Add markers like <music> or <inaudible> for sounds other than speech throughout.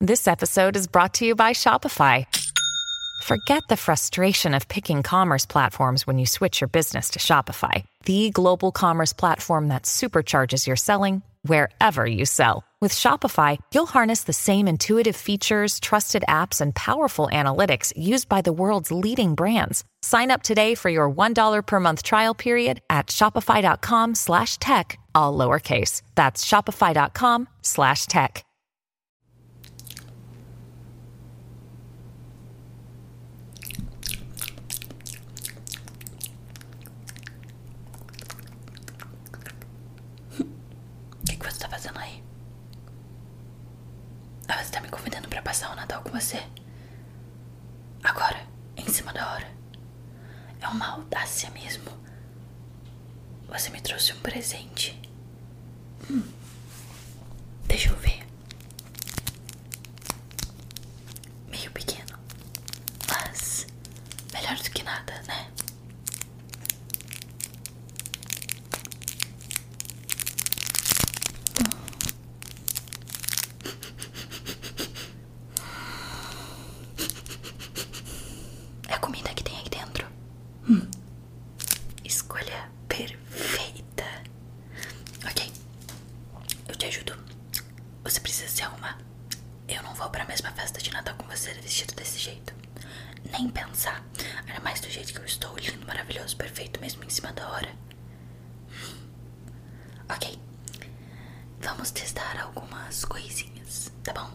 This episode is brought to you by Shopify. Forget the frustration of picking commerce platforms when you switch your business to Shopify, the global commerce platform that supercharges your selling wherever you sell. With Shopify, you'll harness the same intuitive features, trusted apps, and powerful analytics used by the world's leading brands. Sign up today for your $1 per month trial period at shopify.com slash tech, all lowercase. That's shopify.com slash tech. Que que você tá fazendo aí? Ah, você me convidando para passar o Natal com você? Agora, em cima da hora. É uma audácia mesmo. Você me trouxe um presente. Hum. Deixa eu ver. Meio pequeno. Mas melhor do que nada, né? Hum. <laughs> É a comida que tem aqui dentro. Hum. Escolha perfeita. Ok, eu te ajudo. Você precisa se arrumar. Eu não vou pra mesma festa de Natal com você vestido desse jeito. Nem pensar. Ainda mais do jeito que eu estou, lindo, maravilhoso, perfeito, mesmo em cima da hora. Ok, vamos testar algumas coisinhas, tá bom?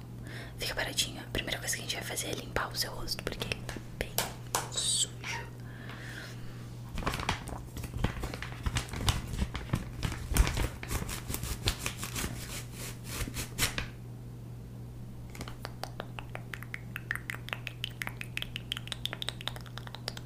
Fica paradinho. A primeira coisa que a gente vai fazer é limpar o seu rosto, porque ele tá bem sujo.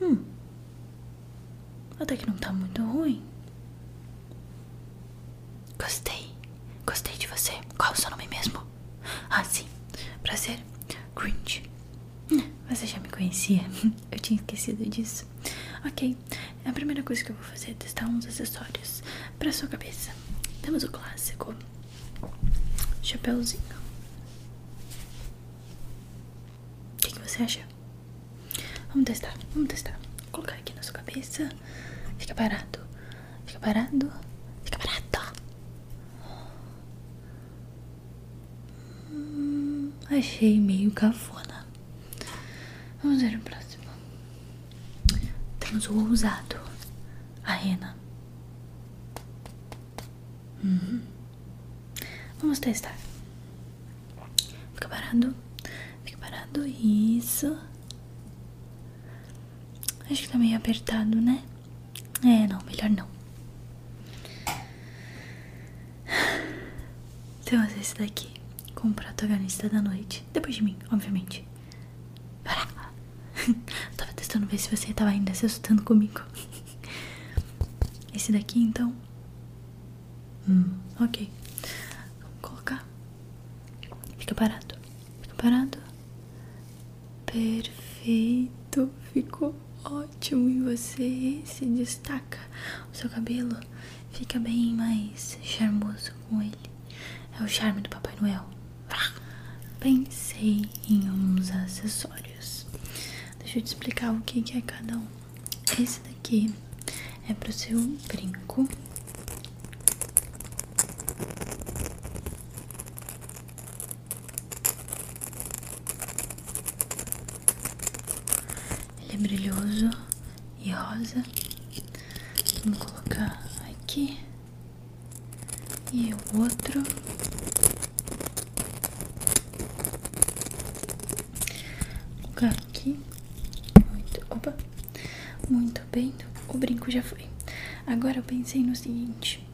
Hum. Até que não tá muito ruim. Gostei. Gostei de você. Qual o seu nome mesmo? Ah, sim. Prazer. Grinch. Hum, você já me conhecia? <laughs> Eu tinha esquecido disso. Ok. A primeira coisa que eu vou fazer é testar uns acessórios pra sua cabeça. Temos o clássico. Chapeuzinho. O que, você acha? Vamos testar, vamos testar. colocar aqui na sua cabeça. Fica parado. Fica parado. Fica parado. Hum, achei meio cafona. Vamos ver o próximo. Temos o ousado. A rena. Uhum. Vamos testar. Fica parado. Fica parado. Isso. Acho que tá meio apertado, né? É, não. Melhor não. Temos então, esse daqui. Como protagonista da noite. Depois de mim, obviamente. Pará. Tava testando ver se você tava ainda se assustando comigo. Esse daqui então. Hum, ok. Vamos colocar. Fica parado. Fica parado. Perfeito. Ficou ótimo. E você se destaca. O seu cabelo fica bem mais charmoso com ele. É o charme do Papai Noel. Pensei em uns acessórios. Deixa eu te explicar o que, é cada um. Esse daqui é para ser um brinco. Ele é brilhoso e rosa. Vamos colocar aqui e o outro lugar aqui muito, opa, muito bem o brinco já foi agora eu pensei no seguinte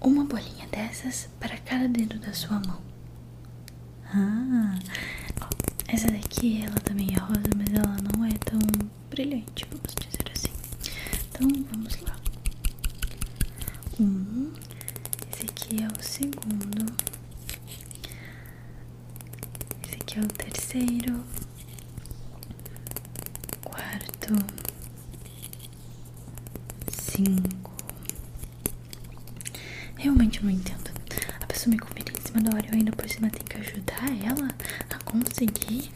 uma bolinha dessas para cada dedo da sua mão ah, essa daqui ela também é rosa mas ela não é tão brilhante, vamos dizer assim. Então vamos lá. Um, esse aqui é o segundo, esse aqui é o terceiro, quarto, cinco. Realmente não entendo. A pessoa me convida em cima da hora e eu ainda por cima tem que ajudar ela a conseguir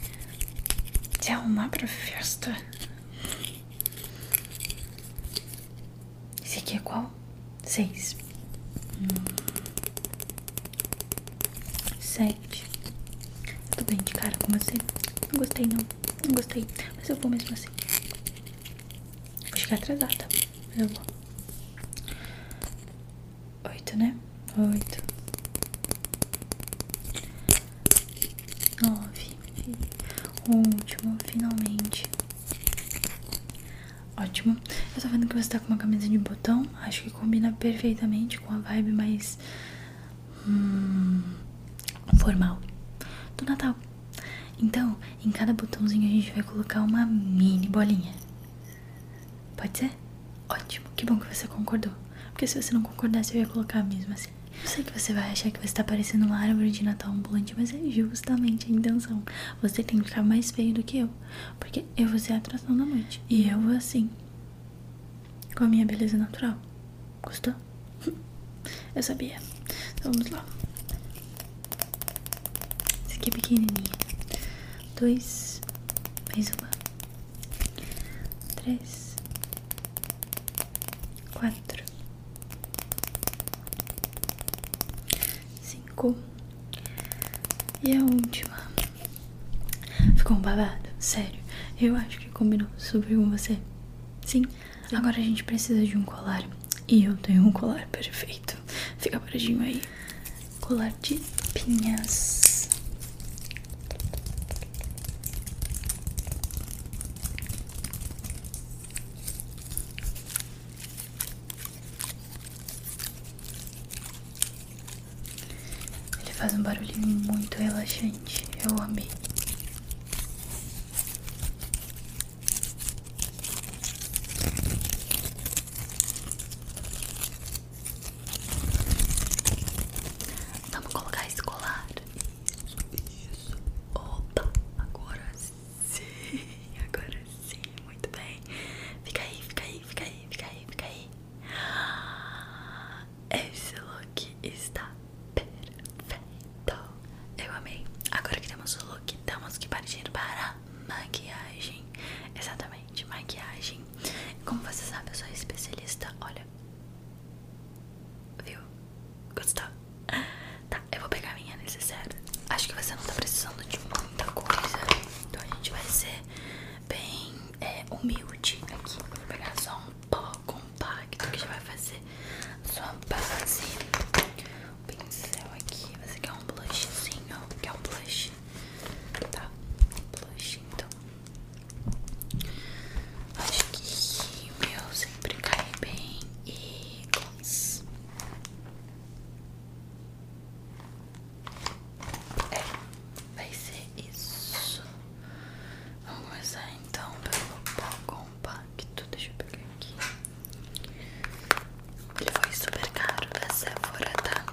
te arrumar pra festa. Esse aqui é qual? Seis. Hum. Sete. Tudo bem de cara com você. Não gostei, não. Não gostei. Mas eu vou mesmo assim. Vou chegar atrasada. Mas eu vou. Oito, né? Oito. Nove. O último, finalmente. Ótimo. Eu tô vendo que você tá com uma camisa de botão. Acho que combina perfeitamente com a vibe mais. Hum, formal do Natal. Então, em cada botãozinho a gente vai colocar uma mini bolinha. Pode ser? Ótimo, que bom que você concordou. Porque se você não concordasse, eu ia colocar a mesma assim. Eu sei que você vai achar que você tá parecendo uma árvore de Natal ambulante, mas é justamente a intenção. Você tem que ficar mais feio do que eu, porque eu vou ser a atração da noite. E eu vou assim, com a minha beleza natural. Gostou? <laughs> Eu sabia. Então vamos lá. Esse aqui é pequenininho dois, mais uma, três, quatro, cinco e a última. Ficou um babado, sério. Eu acho que combinou super com você. Sim, agora a gente precisa de um colar. E eu tenho um colar perfeito. Fica paradinho aí colar de pinhas. Ele faz um barulhinho muito relaxante, eu amei. Vamos colocar esse colar. Isso, isso. Opa, agora sim, <laughs> agora sim. Muito bem. Fica aí, fica aí, fica aí, fica aí, fica aí. <gasps> Esse look está perfeito. Eu amei. Agora que temos o look, temos que partir para maquiagem. Exatamente de maquiagem. Como você sabe, eu sou especialista. Olha, viu? Gostou? Tá, eu vou pegar minha necessária. Acho que você não tá precisando de muita coisa. Então a gente vai ser bem é, humilde aqui. vou pegar só um pó compacto que já vai fazer sua base um pincel aqui. Você quer um blushzinho? Quer um blush? Tá, blush então. Acho que meu sempre caí bem. E gloss. É, vai ser isso. Vamos começar então pelo pó compacto. Deixa eu pegar aqui. Ele foi super caro da né, Sephora, tá?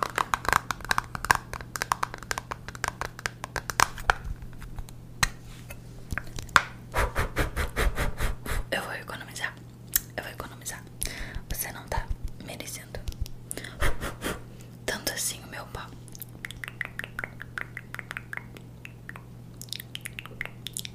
Eu vou economizar, eu vou economizar. Você não tá merecendo tanto assim o meu pau.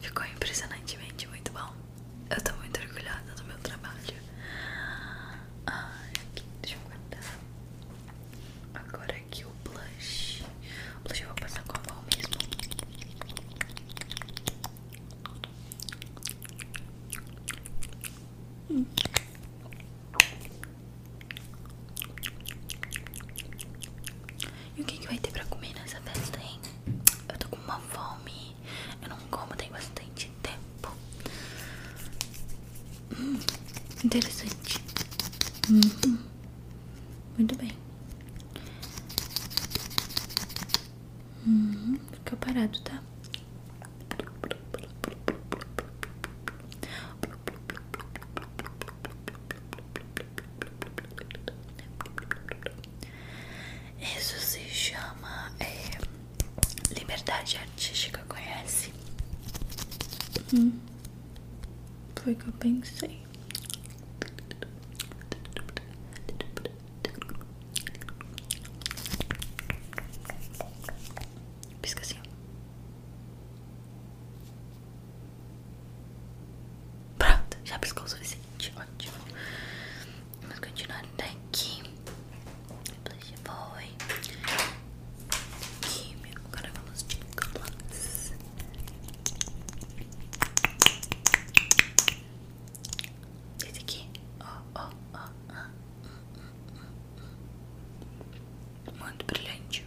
Ficou impressionantemente muito bom. Eu tô muito orgulhosa do meu trabalho. Ai, aqui, deixa eu guardar. Agora aqui o blush. O blush eu vou passar com a mão mesmo. Hum. E o que, que vai ter pra comer nessa festa, hein? Eu tô com uma fome. Eu não como, tem bastante tempo. Hum, interessante. Hum, hum. Muito bem. Hum, fica parado, tá? Isso se chama é, liberdade artística, conhece? Hum. foi o que eu pensei. Pisca assim, Pronto, já piscou o suficiente. Ótimo. Vamos continuar daqui. Depois foi. Aqui, meu. Agora vamos de gloss. Esse aqui. Ó, ó, ó. Muito brilhante.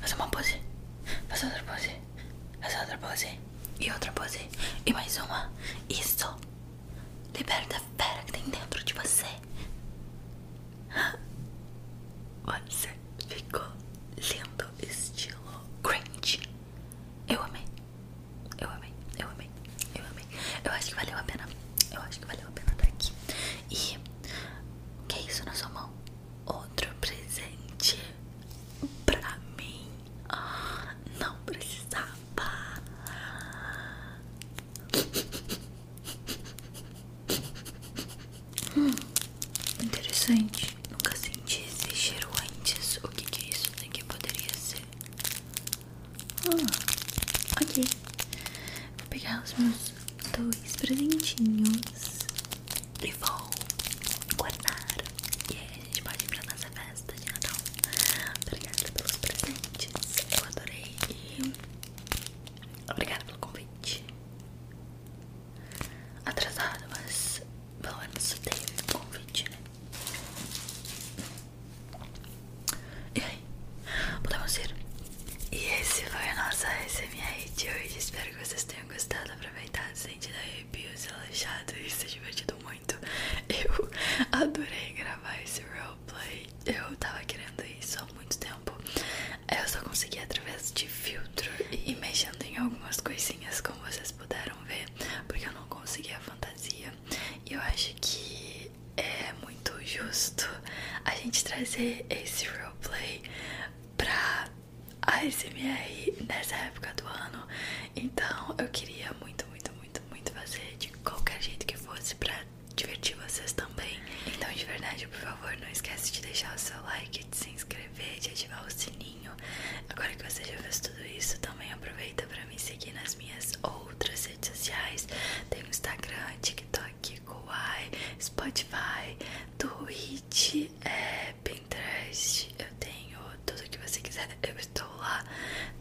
fazer uma pose, fazer outra pose, fazer outra pose, e outra pose, e mais uma. Isso. Liberta a fera que tem dentro de você. Você ficou lindo, estilo cringe. Eu amei. Eu amei, eu amei, eu amei. Eu acho que valeu a pena. Eu acho que valeu a pena estar aqui. E o que é isso na sua mão? outro presente pra mim. Ah, não precisava. interessante. Nunca senti esse cheiro antes. O que, que é isso daqui poderia ser? aqui. Ah, Vou pegar os meus dois presentinhos e vou guardar. E aí a gente pode ir pra nossa festa de Natal. Obrigada pelos presentes. Eu adorei. obrigada pelo convite. Atrasado, mas pelo menos teve um convite, né? E aí, Podemos ir? E esse foi a nossa SMR de hoje. Espero que vocês tenham gostado, aproveitado, sentido arrepios, relaxado e se divertido muito. Eu <laughs> adorei gravar esse roleplay. Eu tava querendo isso há muito tempo. Eu só consegui através de filtro e mexendo em algumas coisinhas, como vocês puderam ver, porque eu não consegui a fantasia. E eu acho que é muito justo a gente trazer esse roleplay pra ASMR nessa época do ano. Então eu queria muito, muito, muito, muito fazer de qualquer jeito que fosse pra divertir vocês também. Então, de verdade, por favor, não esquece de deixar o seu like, de se inscrever, de ativar o sininho. Agora que você já fez tudo isso, também aproveita para me seguir nas minhas outras redes sociais. Tem o Instagram, TikTok. TikTok, Kawaii, Spotify, Twitch, Pinterest. Eu tenho tudo que você quiser, eu estou lá.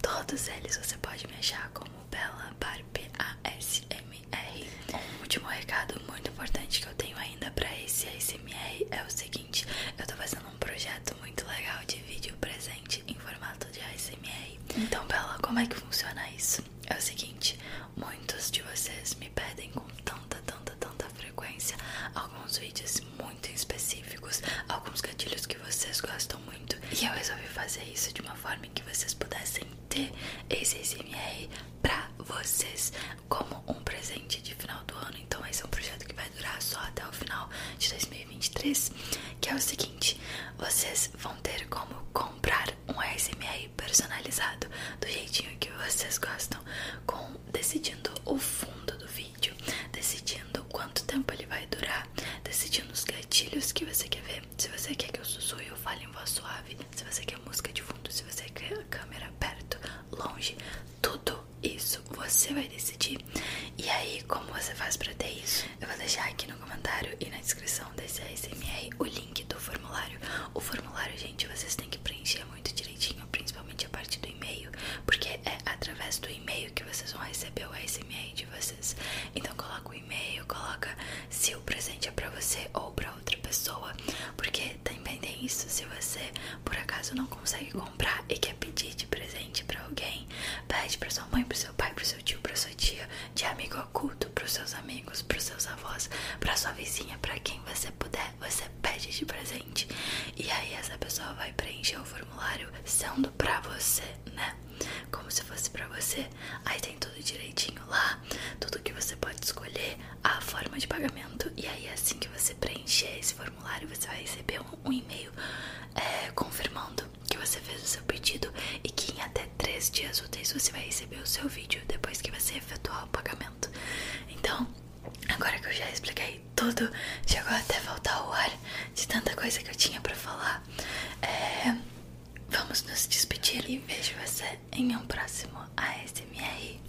Todos eles você pode me achar como Bela Barb ASMR. Um último recado muito importante que eu tenho ainda para esse S M R é o seguinte: eu estou fazendo um projeto muito legal de vídeo presente em formato de S M R. Então, Bela, como é que funciona isso? é o seguinte: muitos de vocês me pedem com tanta, tanta, tanta frequência alguns vídeos muito específicos, alguns gatilhos que vocês gostam muito, e eu resolvi fazer isso de uma forma em que vocês pudessem ter esse SMR pra vocês como um presente de final do ano. Então, esse é um projeto que vai durar só até o final de 2023, que é o seguinte: vocês vão ter como comprar um ASMR personalizado do jeitinho que vocês gostam, com decidindo o fundo do vídeo, decidindo quanto tempo ele vai durar, decidindo os gatilhos que você quer ver, se você quer que eu sussurre ou fale em voz suave, se você quer música de fundo, se você quer a câmera perto, longe, tudo isso você vai decidir. E aí, como você faz pra ter isso? Eu vou deixar aqui no comentário e na descrição desse ASMR o link do formulário. O formulário, gente, vocês têm que preencher muito direitinho, principalmente a parte do e-mail, porque é através do e-mail que vocês vão receber o ASMR de vocês. Então coloca o e-mail, coloca se o presente é para você ou para outra pessoa, porque também tem isso, se você por acaso não consegue comprar e quer pedir de presente para alguém, Pede pra sua mãe, pro seu pai, pro seu tio, pra sua tia, de amigo oculto, pros seus amigos, pros seus avós, pra sua vizinha, pra quem você puder, você pede de presente. E aí essa pessoa vai preencher o formulário sendo pra você, né? Como se fosse pra você. Aí tem tudo direitinho lá, tudo que você pode escolher, a forma de pagamento. E aí assim que você preencher esse formulário, você vai receber um, e-mail é, confirmando que você fez o seu pedido e que em até 3 dias úteis você vai receber o seu vídeo depois que você efetuar o pagamento. Então, agora que eu já expliquei tudo, chegou até voltar ao ar de tanta coisa que eu tinha para falar. É, vamos nos despedir e vejo você em um próximo ASMR.